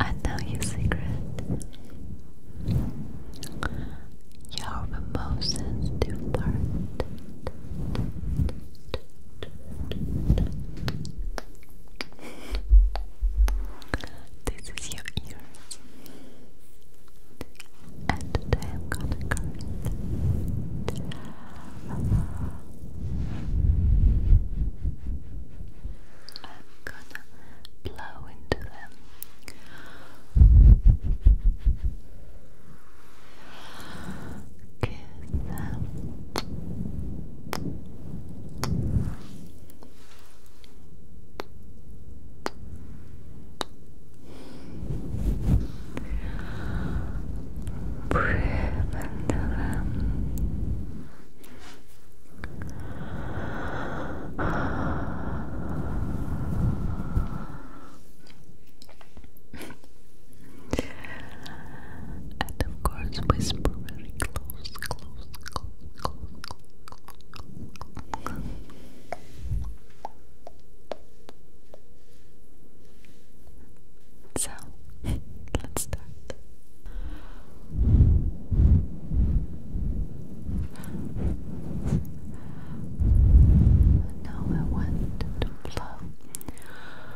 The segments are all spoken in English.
I know your secret. You're the most sensitive part. This is your ears. And I'm gonna curse. I'm gonna blow into them kiss them. Breathe into them and of course, whisper very close, close, close, close, close. So, let's start. Now I want to blow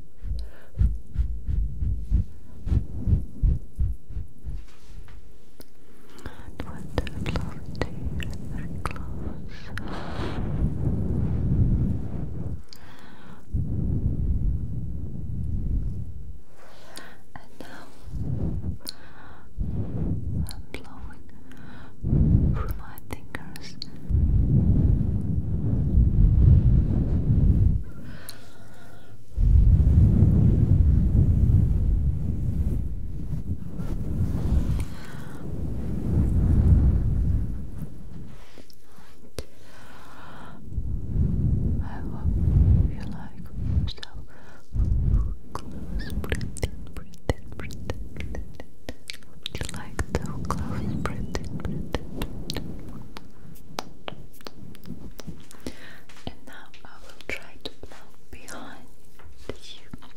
And what I'd love to very close. And now I'm blowing from my fingers. I hope you like so close breath in, breath you like to close breath in, And now I will try to blow behind you. Good.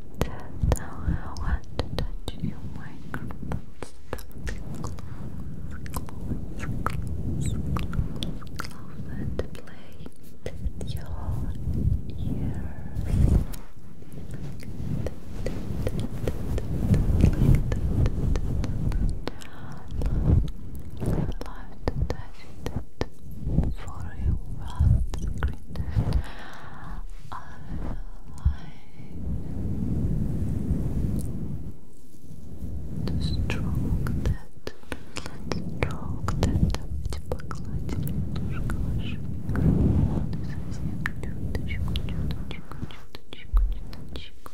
That's I want to touch your microphone. Close, close, close, close, close, and play your ears. love to touch for you well greatest alive. To stroke that, stroke that, давайте погладим немножко ваши микрофоны совсем чуточку, чуточку, чуточку, чуточку.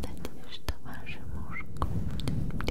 Надеюсь, что вашим ушкам будет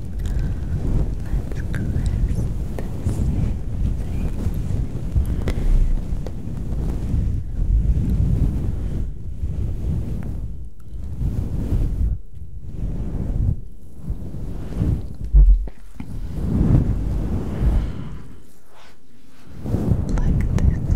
Let's close this thing. Like this.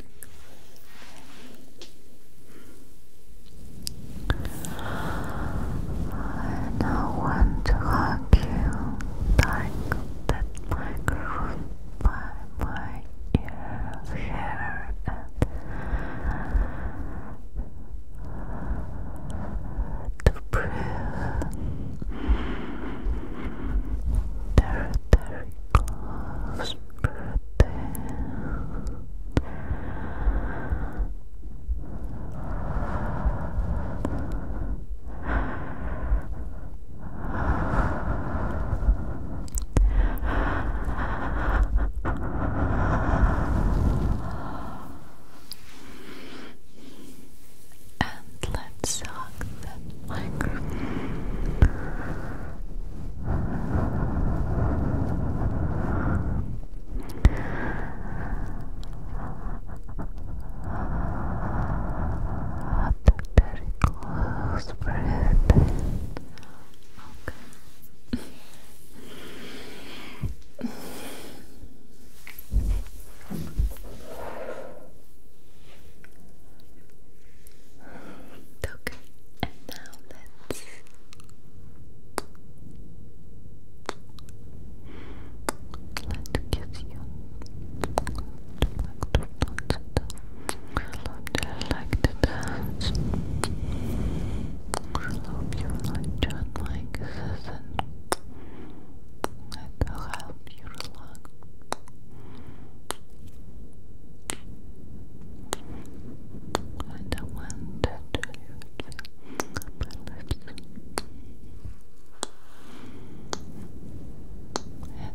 I want to hug you, tangle that microphone by my ear hair and to breathe. Territory Claus' birthday let's hug that microphone. Very close breath. Okay, and now let's let's kiss you. I like to dance. hope you like John Mike Sisson. I to help you relax. And I want to do my lips.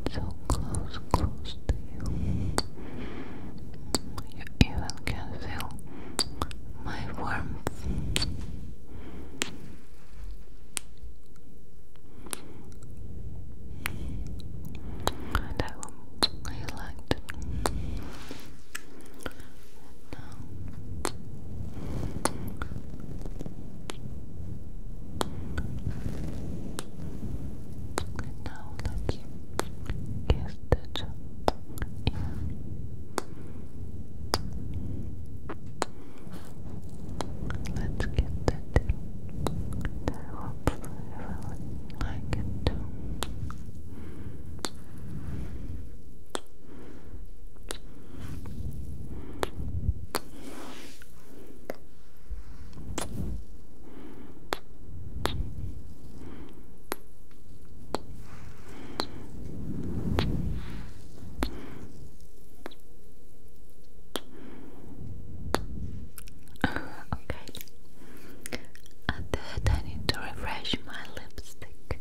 It's so close, close to you. You even can feel my warmth. And I you liked now, now let's kiss that ear. Let's get that I hope I will it too. okay. And then I need to refresh my lipstick.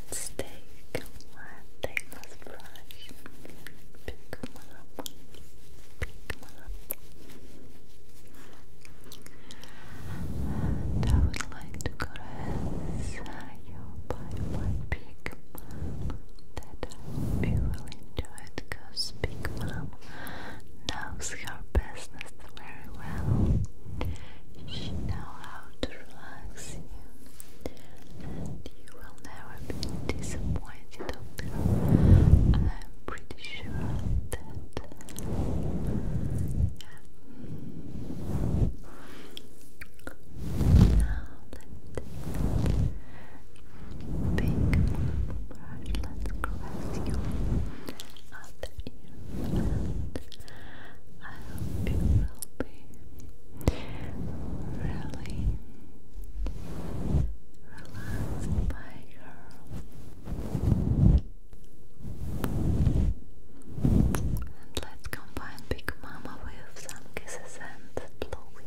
Let's take one nameless brush and pick one I would like to caress you by my pick that you will enjoy it because Big Mom knows her business very well. She knows how to relax you, and you will never be disappointed I'm pretty sure of that. Now let's big brush. Let's caress your other ear I hope you will be really relaxed, my girl. And let's combine Big Mama with some kisses and blowing.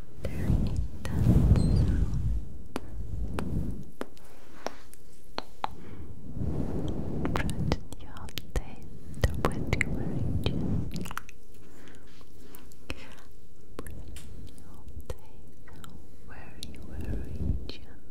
after that sound. Brush your teeth with your region. Brush your teeth very, very gently.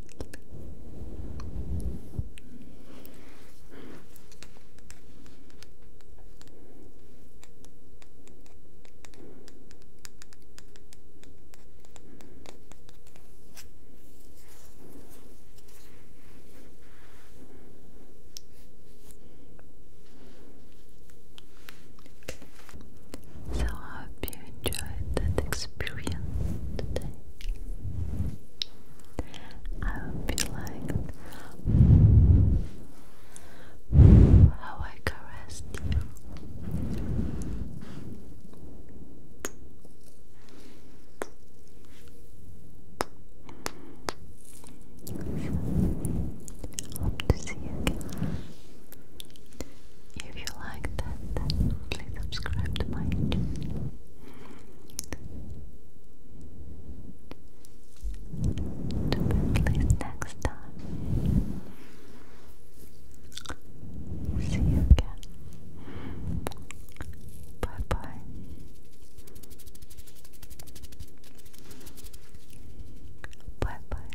So I hope you enjoyed that experience today. I hope you liked how I caressed you. Hope to see you again. If you like that, please subscribe to my channel to be next time. See you again. Bye bye. Bye bye.